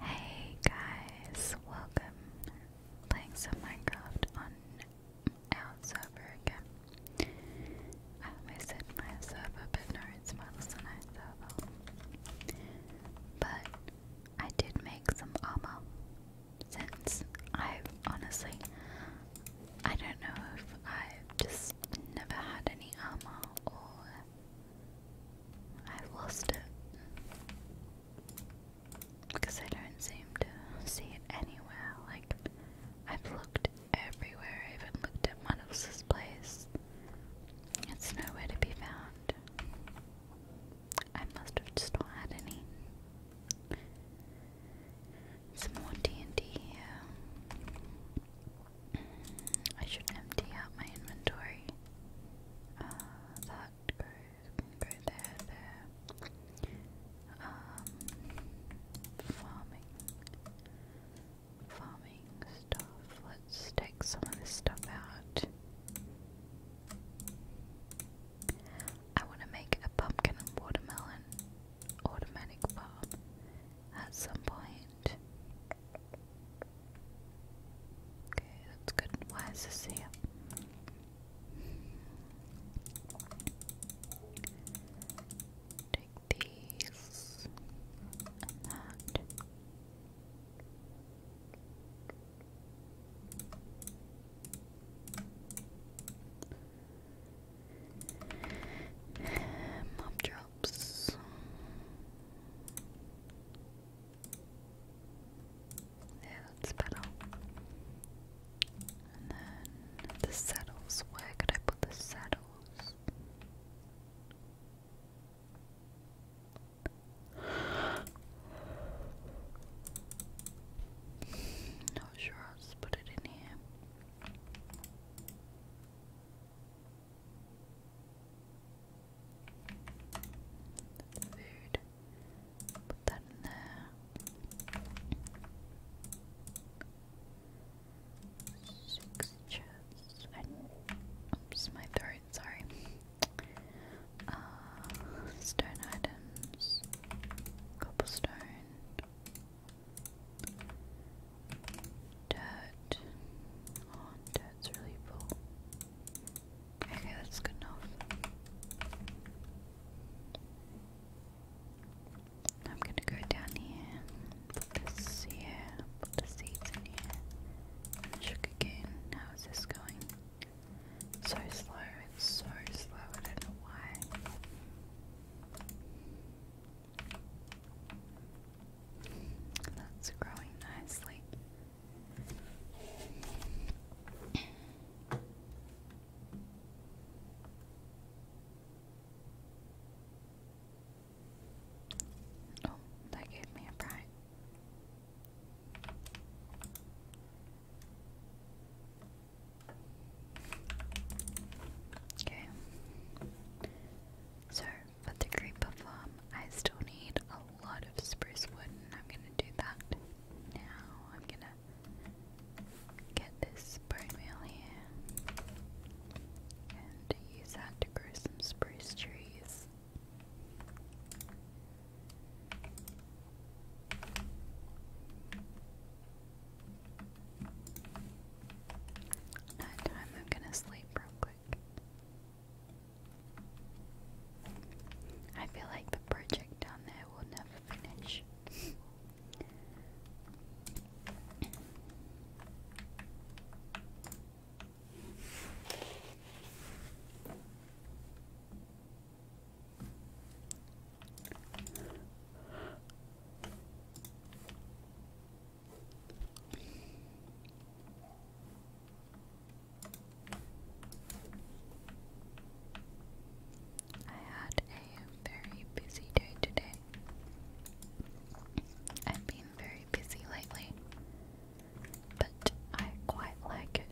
Hey guys, welcome. Playing some Minecraft on our server again. I almost said my server, but no, it's my listener server. But I did make some armor since I've honestly, I don't know if I've just never had any armor or I've lost it. Because I don't seem to see it anywhere. Like, I've looked everywhere. I even looked at one place. It's nowhere to be found. I must have just not had any. Some more TNT here. I should empty out my inventory. Uh, that goes can there, there. Um, farming, farming stuff. Let's take some of this stuff out. I want to make a pumpkin and watermelon automatic farm at some point. Okay, that's good. Why is this here? Take these and that. Mob drops. Yeah, that's better. And then the saddles. Where could I put the saddles? Not sure I'll put it in here. Food. Put that in there. Oops, my throat, sorry. Uh, stone items. Cobblestone. Dirt. Oh, dirt's really full. Okay, that's good enough. I'm gonna go down here, put this here, put the seeds in here, and the How is this going? So slow, it's so slow, I don't know why. That's growing nicely. Oh, that gave me a pride. Okay. So but the creep of I still need a lot of spruce wood, and I'm gonna do that now. I'm gonna get this bone meal here and use that to grow some spruce trees. time, I'm gonna sleep real quick. I feel like the project down there will never finish. I had a very busy day today. I've been very busy lately, but I quite like it.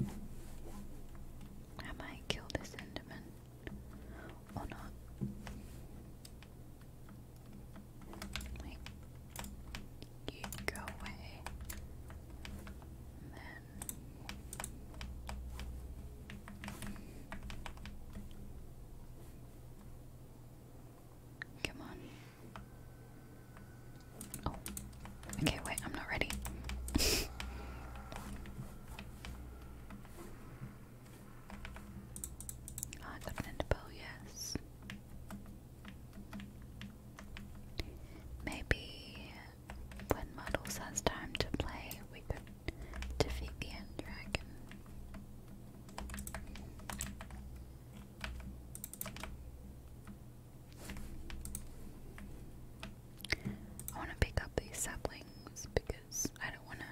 I might kill this Enderman or not. You go away. Come on. Oh, okay, wait, I'm not ready. Ah, yes. Maybe when Models has time to play, we could defeat the End Dragon. I want to pick up these saplings because I don't want to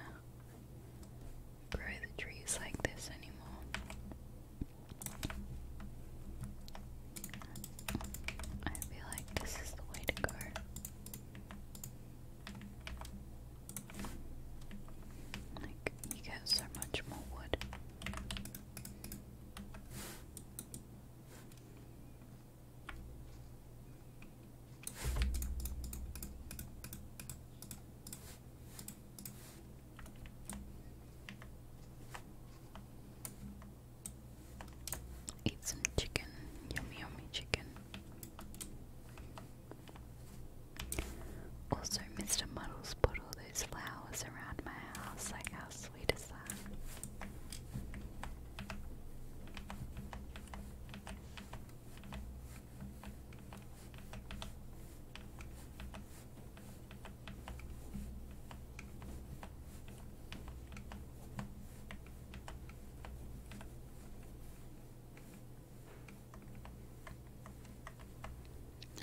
grow the trees like this anymore. I feel like this is the way to go. Like, you get so much more wood. Eat some chicken, yummy, yummy chicken. Also, Mr. Muddles put all those flowers around my house. Like, how sweet is that?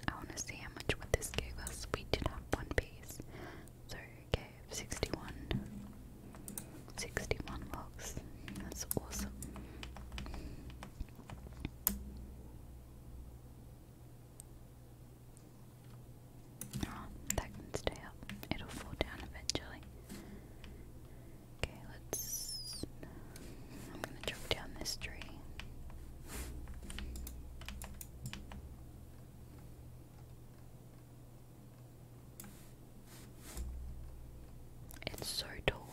I want to see how much what this gave us. We did have one piece, so it gave 61, 61 logs. That's awesome. Oh, that can stay up. It'll fall down eventually. Okay, let's. I'm gonna jump down this tree. It's so tall.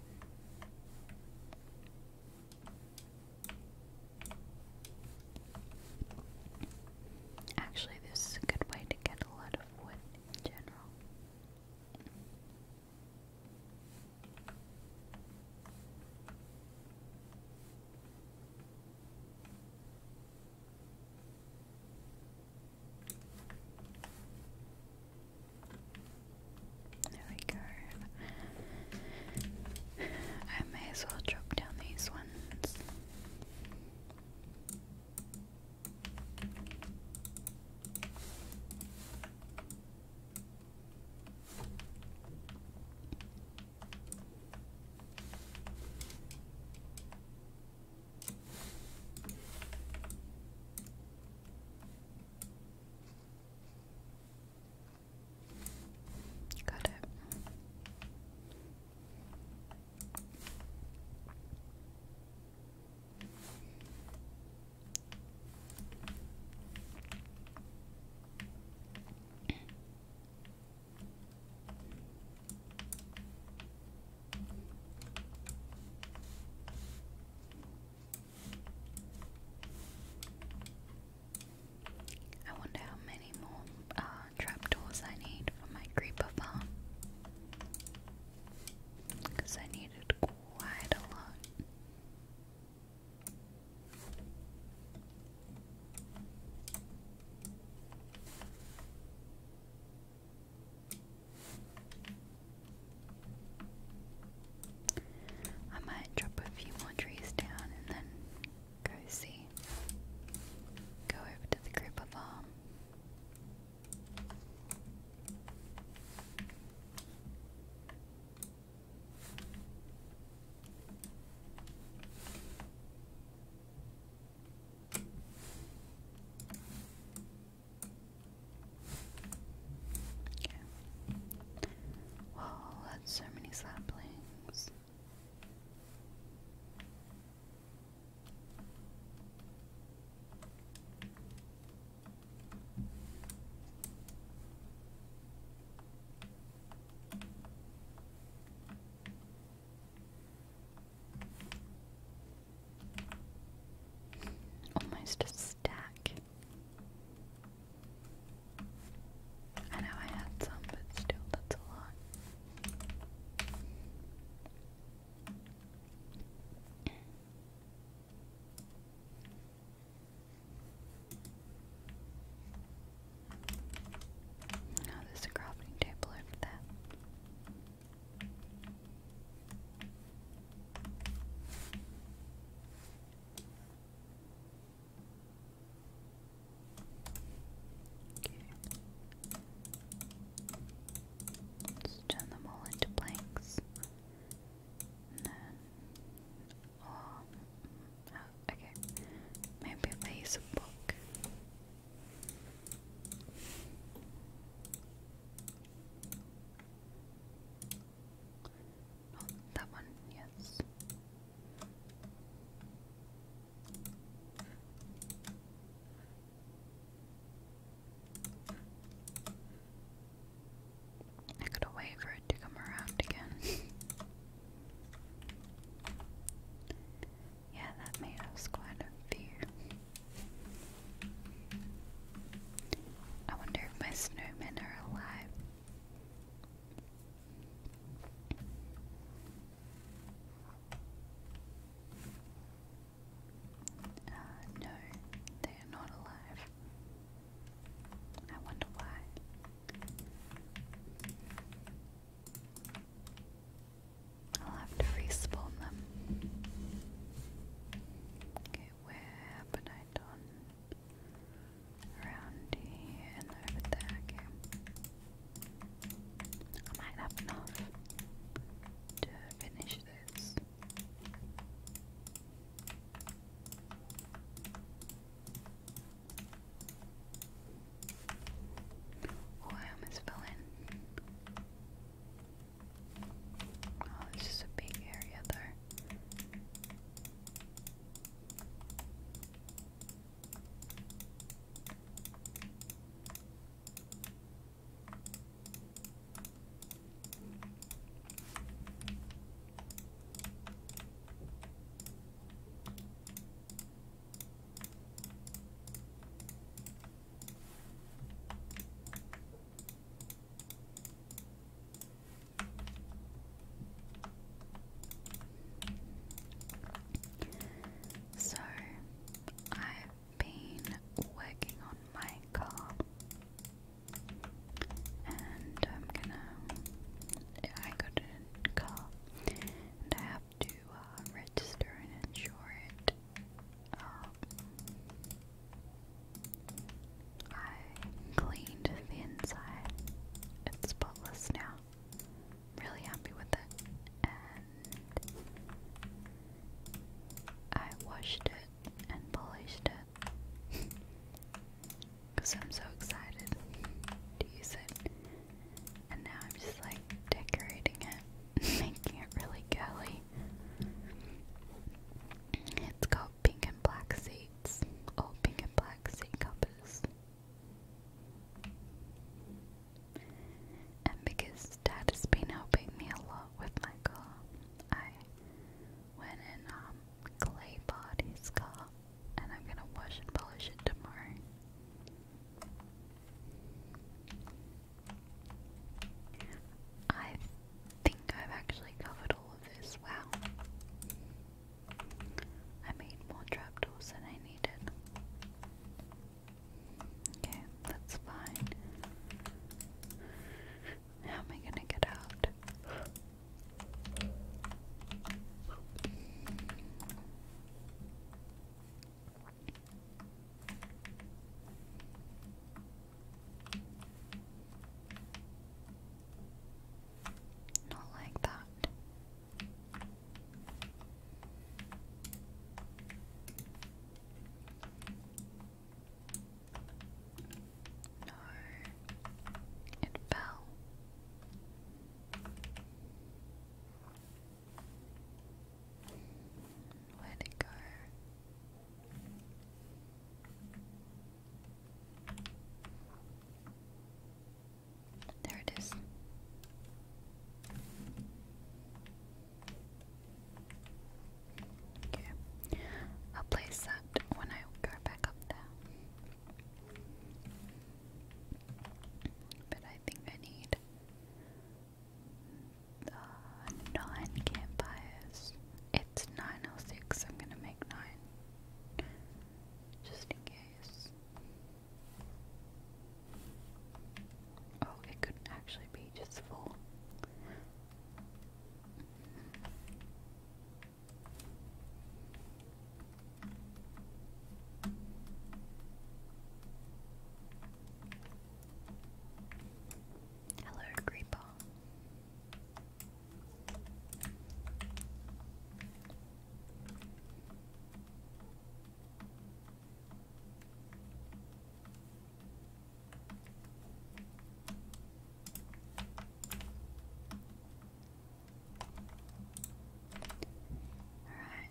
Actually, this is a good way to get a lot of wood in general. There we go. I may as well drop down these ones. Got it. I wonder how many more uh, trapdoors I need for my creeper farm. Because I need it quite a lot. I might drop a few more trees down and then go see. Go over to the group of farm. Okay. Well, that's so many saplings. Almost a stack. I know I had some, but still, that's a lot. Now there's a crafting table over there. Let's turn them all into blanks. And then, oh, okay. Maybe if a book. Oh, that one, yes. I gotta wait for it to come around again. yeah, that made us quite a few. I wonder if my snowmen are alive. Uh, no, they are not alive. I wonder why. I'll have to respawn them. Okay, where have I done? Around here and over there, I might have enough to finish this. Oh, I almost fell in. Oh, this is a big area there. So, I've been working on my car, and I'm gonna. I got a car, and I have to uh, register and insure it I cleaned the inside. It's spotless now. Really happy with it. And I washed it and polished it. Because I'm so excited to use it. And now I'm just like decorating it, making it really girly. It's got pink and black seats, all pink and black seat covers. And because Dad has been helping me a lot with my car, I went and um, clay barred car, and I'm gonna wash and polish it tomorrow. I think I've actually covered all of this. Wow. I made more trapdoors than I needed. Okay, that's fine. How am I gonna get out? Not like that. No, it fell. Where'd it go? There it is. Okay. I'll place that when I go back up there. But I think I need uh, nine campfires. It's nine or six, I'm gonna make nine. Just in case. Oh, it could actually be just four. Hello, Creeper.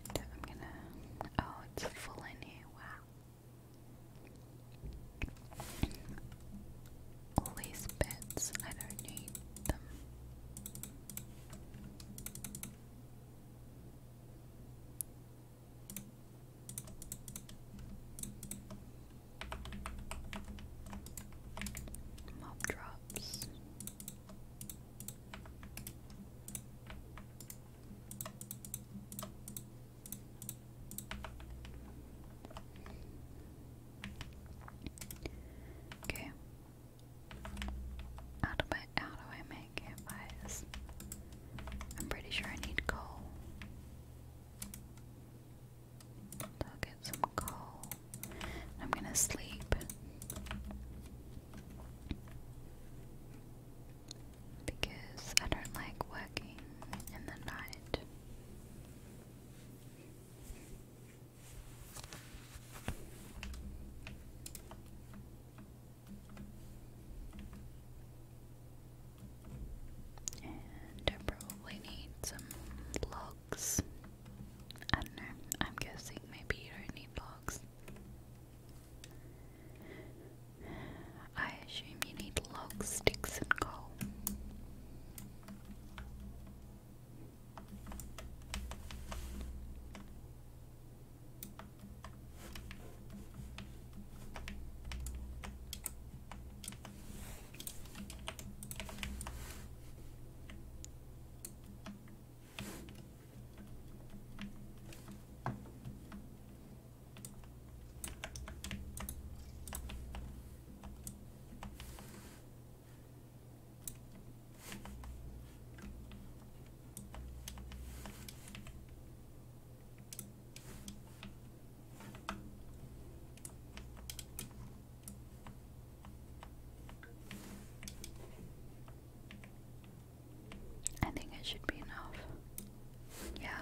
Alright, I'm gonna. Oh, it's full in here, wow. All these bits, I don't need them. Mob drops. Okay. How do I how do I make campfires? I'm pretty sure I need coal. I'll get some coal. I'm gonna sleep because I don't like working in the night. And I probably need some logs. I don't know, I'm guessing maybe you need logs. I assume you need logs, sticks and coal. I think it should be enough. Yeah.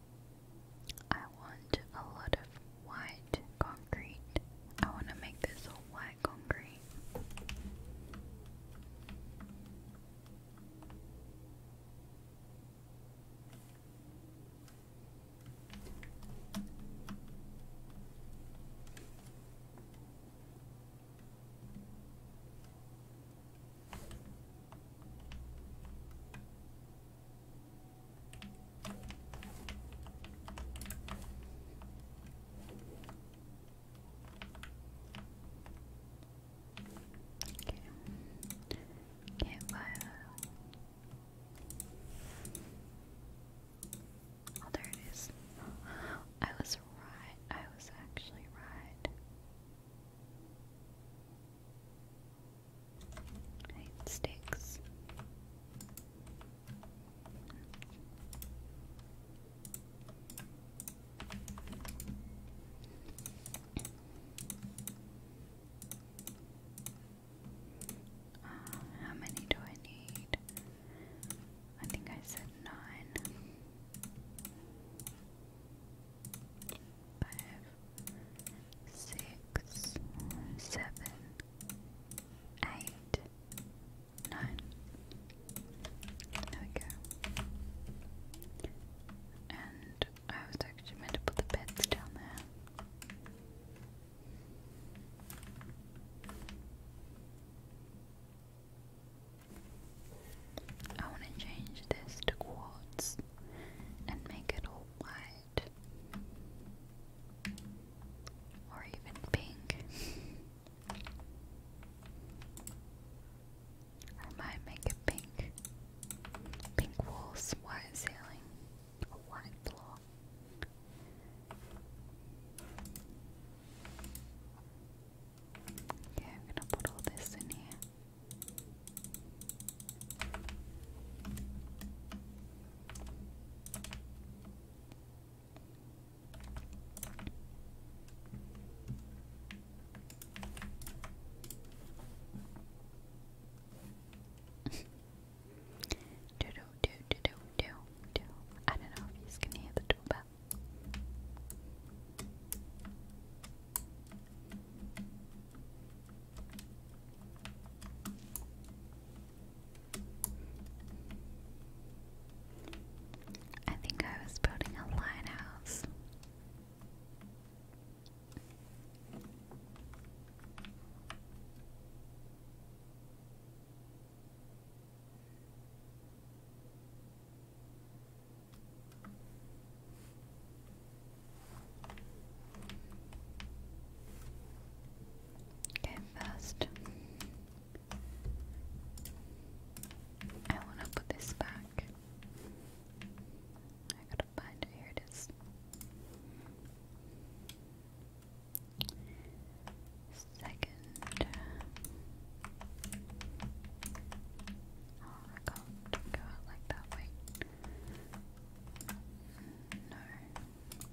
I want a lot of white concrete. I want to make this all white concrete. Okay. Can't buy that. Oh, there it is. I was right. I was actually right. Right, sticks. Uh, how many do I need? I think I said nine. Five, six, seven, eight, nine. There we go. And I was actually meant to put the beds down there. I want to change this to quartz and make it all white or even pink. I might make it pink. Pink walls, white ceiling, white floor. Okay, I'm gonna put all this in here do do do do do do do. I don't know if you can hear the doorbell. I think I was building a lighthouse. Okay, first I want to put this back. I gotta find Here it is. Second. Oh, I can't go out like that. Wait. No then,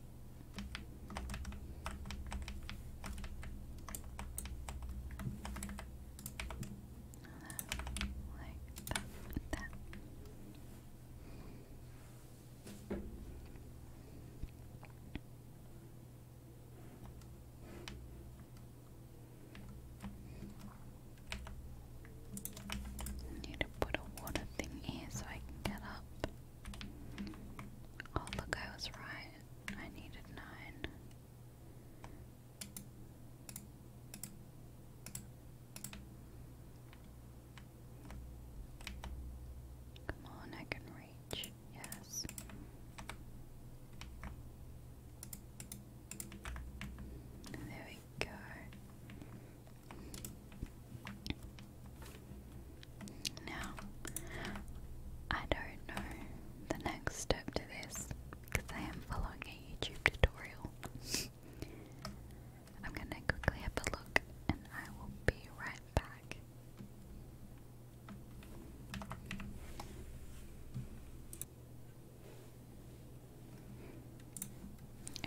like that, I need to put a water thing here so I can get up. Oh, look, I was right. I needed nine. Come on, I can reach. Yes. There we go. Now, I don't know the next step to this because I am following a YouTube tutorial. I'm gonna quickly have a look and I will be right back.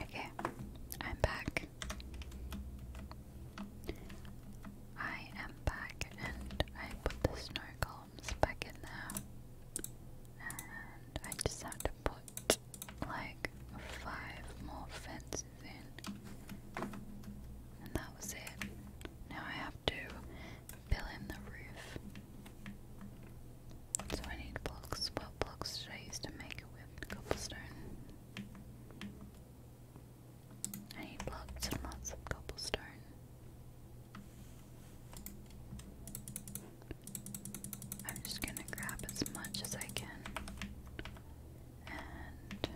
Okay, I'm back. I am back and I put the snow columns back in there. And I just have to put like five more fences in. And that was it. Now I have to fill in the roof. So I need blocks. What blocks should I use to make it with cobblestone? I need blocks and lots of cobblestone. I'm just gonna grab as much as I can and put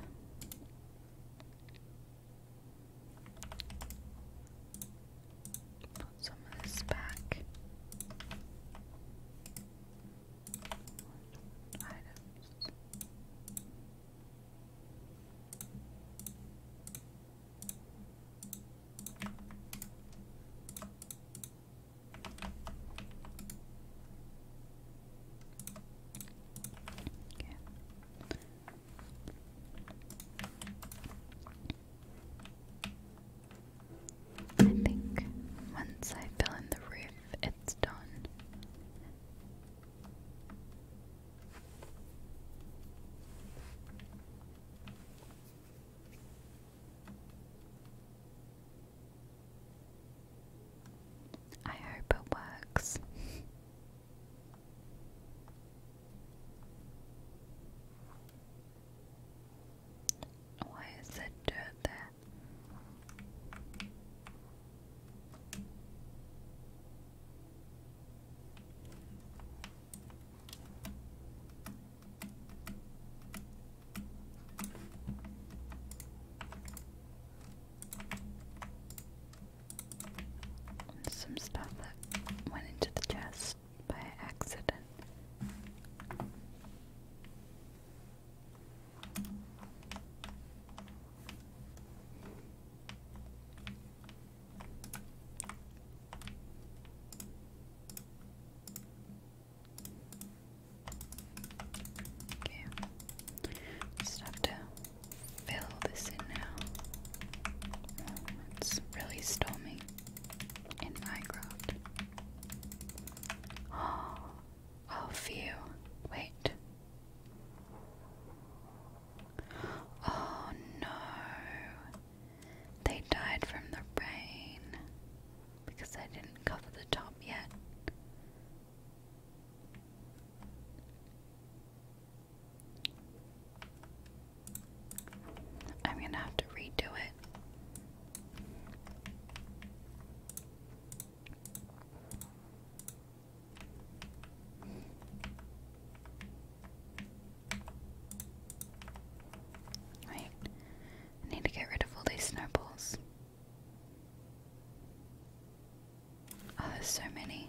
some of this back items. Okay. I think once I fill in the roof, it's done. I hope it works. Why is that dirt there? some stuff that went into the chest by accident. Okay, just have to fill this in now. it's really stormy in Minecraft. Oh, phew. Wait. Oh no. They died from the rain because I didn't cover the top yet. I'm gonna have to redo it. Right. I need to get rid of all these snowballs. Oh, there's so many.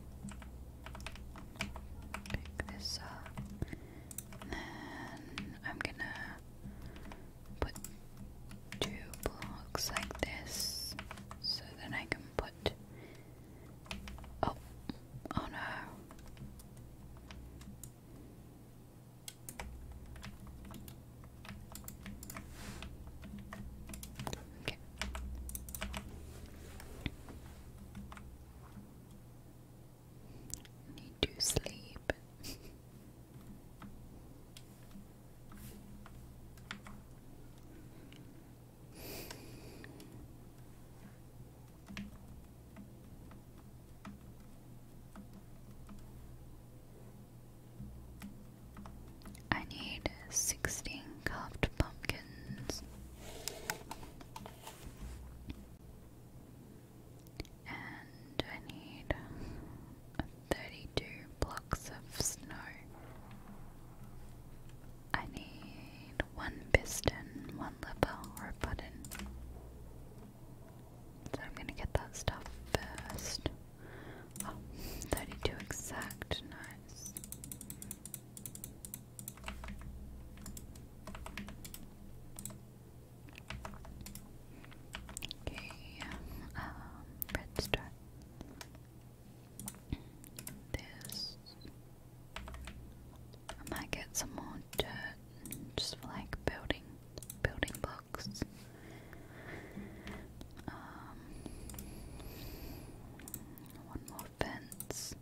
Pick this up. And I'm gonna put two blocks like this so then I can put. Oh, oh no back. Need to sleep. I need 16 carved pumpkins and I need 32 blocks of snow. I need one piston, one lever, or a button. So I'm going to get that stuff first. Oh, 32 exact, nice. Okay, um, redstone. This. I might get some more dirt, just for like building, building blocks. Um, one more fence.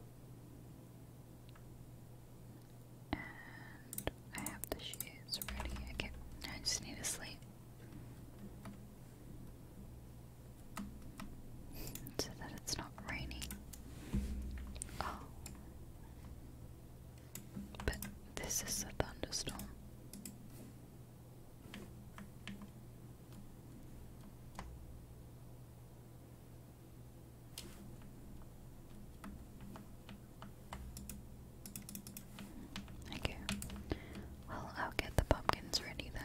And I have the shoes ready. I just need to sleep. So that it's not raining. Oh. But this is a thunderstorm. Okay. Well, I'll get the pumpkins ready then.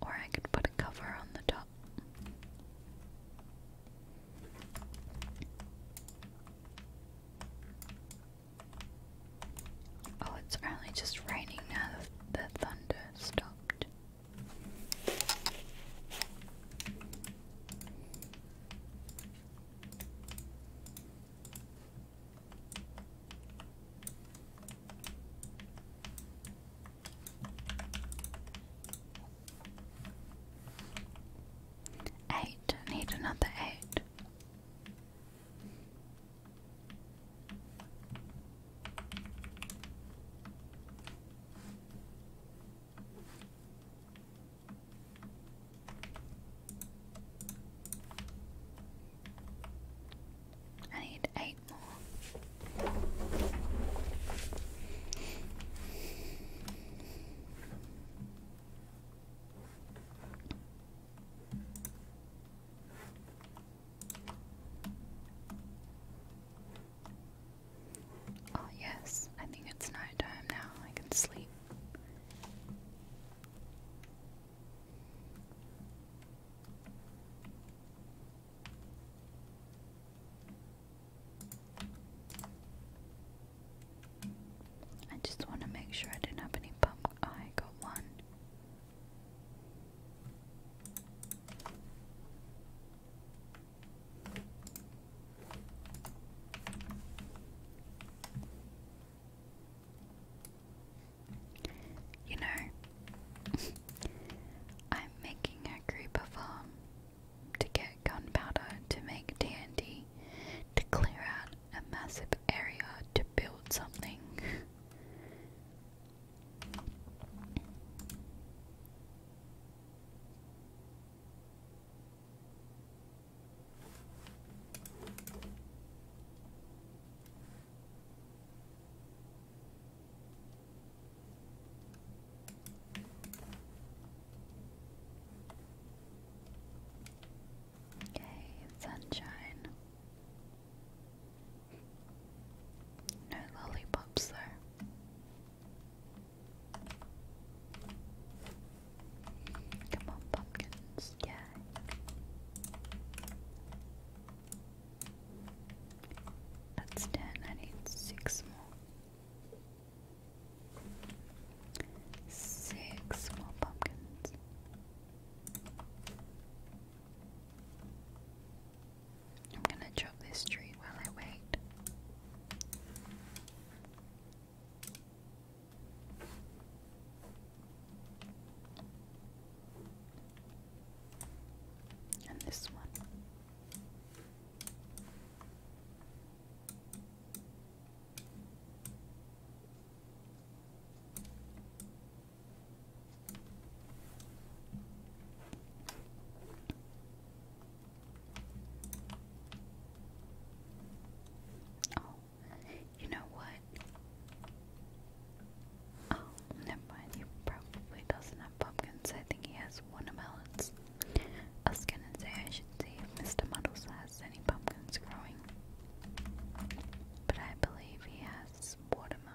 Or I could put a cover on the top. Oh, it's only just raining now the thunder stopped. Eight, need another eight. I need eight more. Oh, yes, I think it's night time now. I can sleep. I just want to make sure I did not have any pump. Oh, I got one. You know, I'm making a group of um, to get gunpowder to make TNT, to clear out a massive area to build something. Yay, sunshine. No lollipops, though. Come on, pumpkins, yeah. That's ten, I need six more. Six small pumpkins. I'm gonna chop this tree while I wait. And this one. Oh, you know what? Oh, never mind. He probably doesn't have pumpkins. I think he has one I was gonna say I should see if Mr. Muddles has any pumpkins growing. But I believe he has watermelon.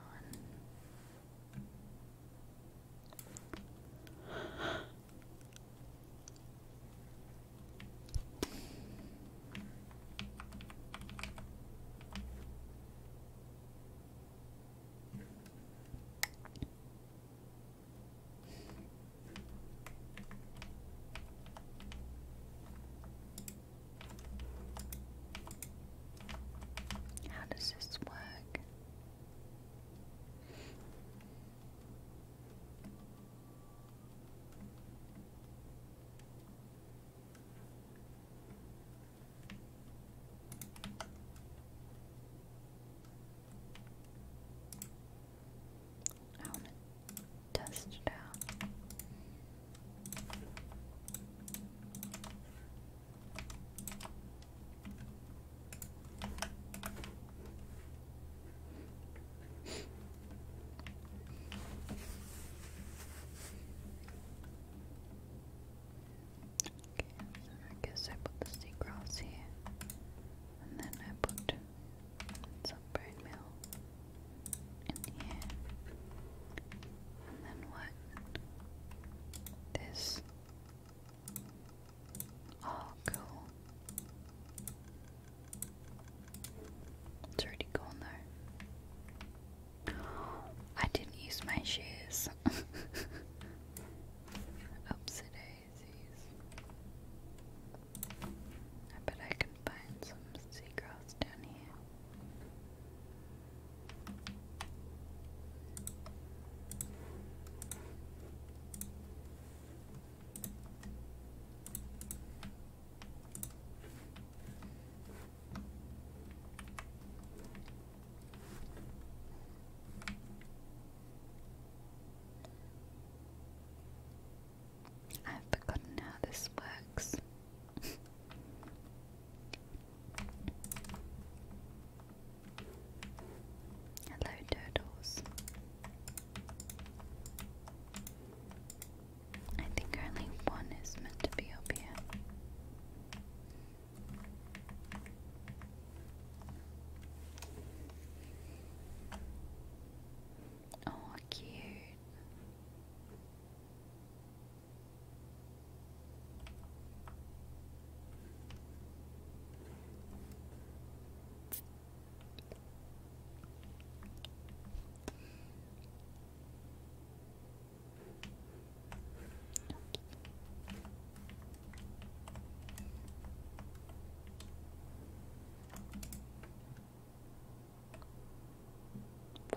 How does this work? I want test out. Okay, I guess I put the sea grass here. And then I put some bone meal in here. And then what? This. Oh, cool. It's already gone though. I didn't use my shoes. Upsy daisies. I bet I can find some seagrass down here. I've forgotten how this works. Hello, turtles. I think only one is meant to be up here. Oh, cute.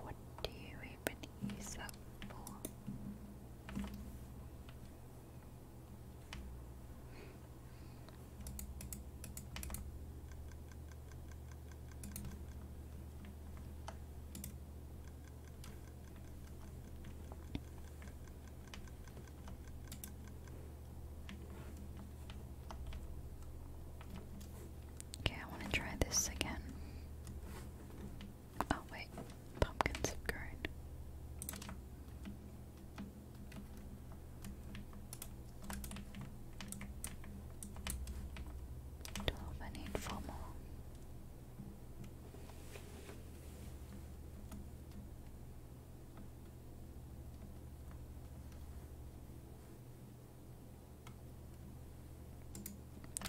What do you even use that for? Okay, I want to try this again. Oh, wait, pumpkins have grown. Twelve, I more.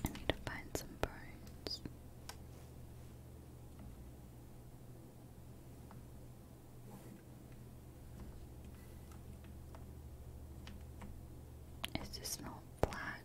I need to find some bones. Is this not black?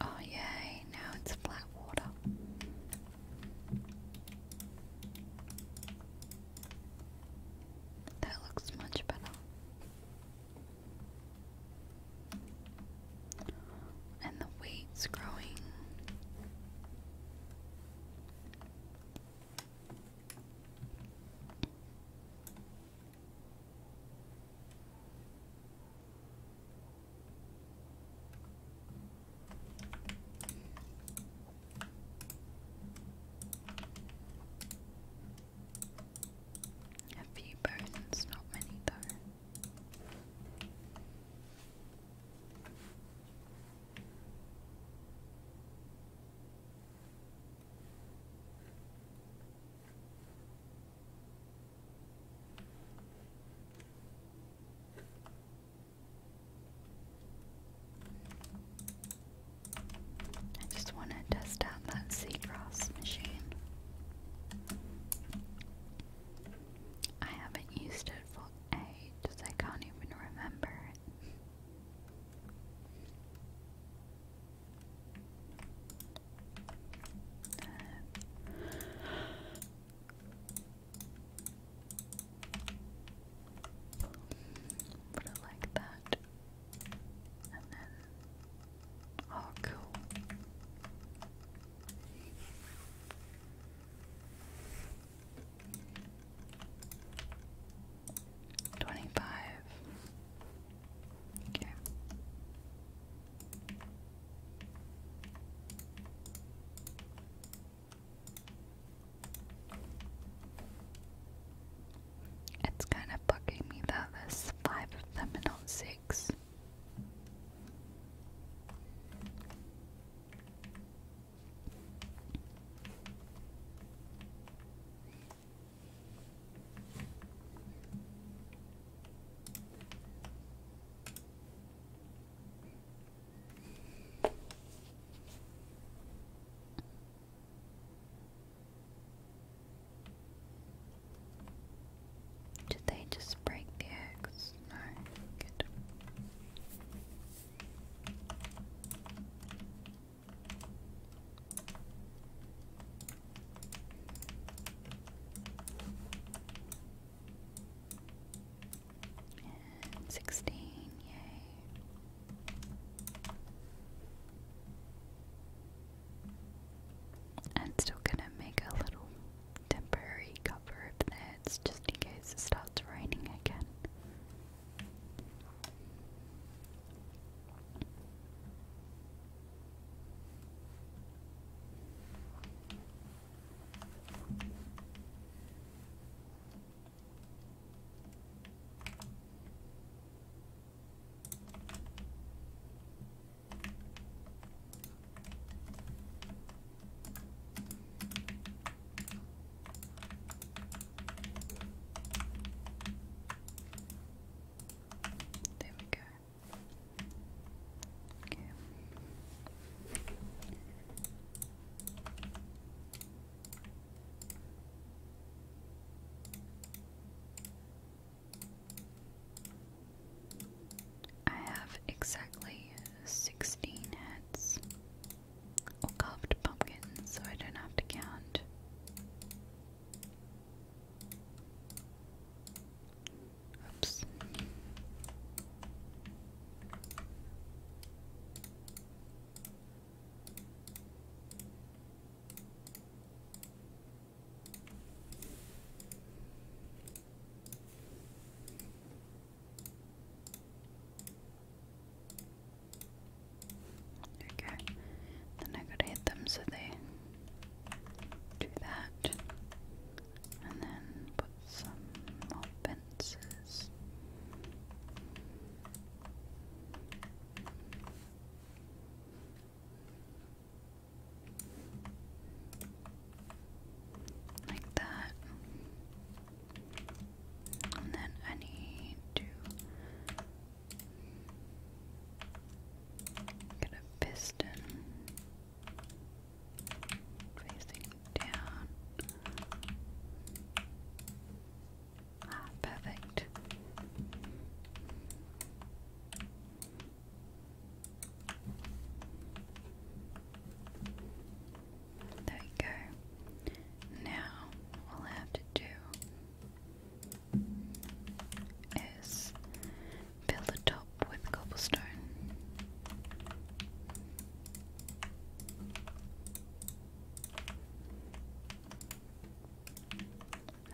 Oh, yay, now it's flat water. That looks much better. And the weeds growing. A few persons, not many though. I just want to test out that c Seagrass machine. I haven't used it for ages, I can't even remember it. Uh, put it like that, and then oh, cool. Twenty-five. Okay. It's kind of bugging me that there's five of them and not six. Did they just break the eggs? market. And sixteen, yay. i still gonna make a little temporary cover of clothes just in case it starts raining again. There we go. Okay. I have exactly 16 heads or carved pumpkins so I don't have to count. Oops. Okay. Then I gotta hit them so they do that. And then put some more fences like that. And then I need to get a piston facing down. Ah, perfect. There we go. Now, all I have to do is build the top with cobblestone.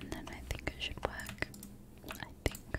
And then I think it should work. I think.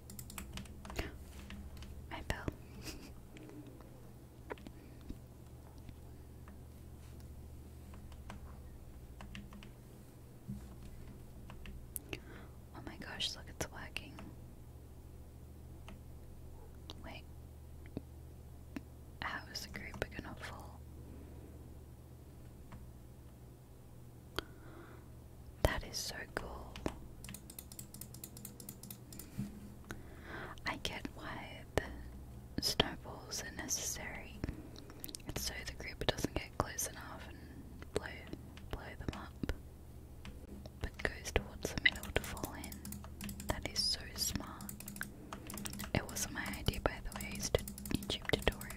My bell. oh my gosh, look, it's working. Wait. How is the group gonna fall? That is so cool. I get why the snowballs are necessary. so the group doesn't get close enough and blow blow them up. But goes towards the middle to fall in. That is so smart. It was my idea by the way, it's YouTube tutorial.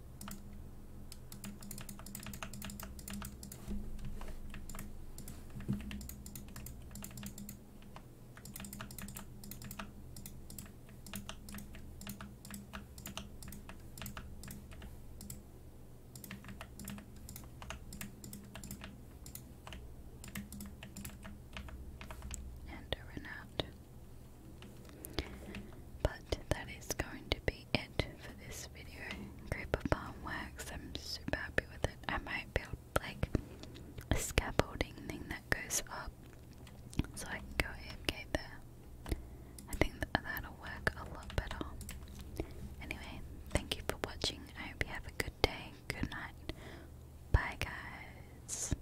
and a but that is going to be it for this video. Creeper Palm Works, I'm super happy with it. I might build like a scaffolding thing that goes up so I can go and get there. I think that that'll work a lot better. Anyway, thank you for watching. I hope you have a good day, good night. Bye, guys.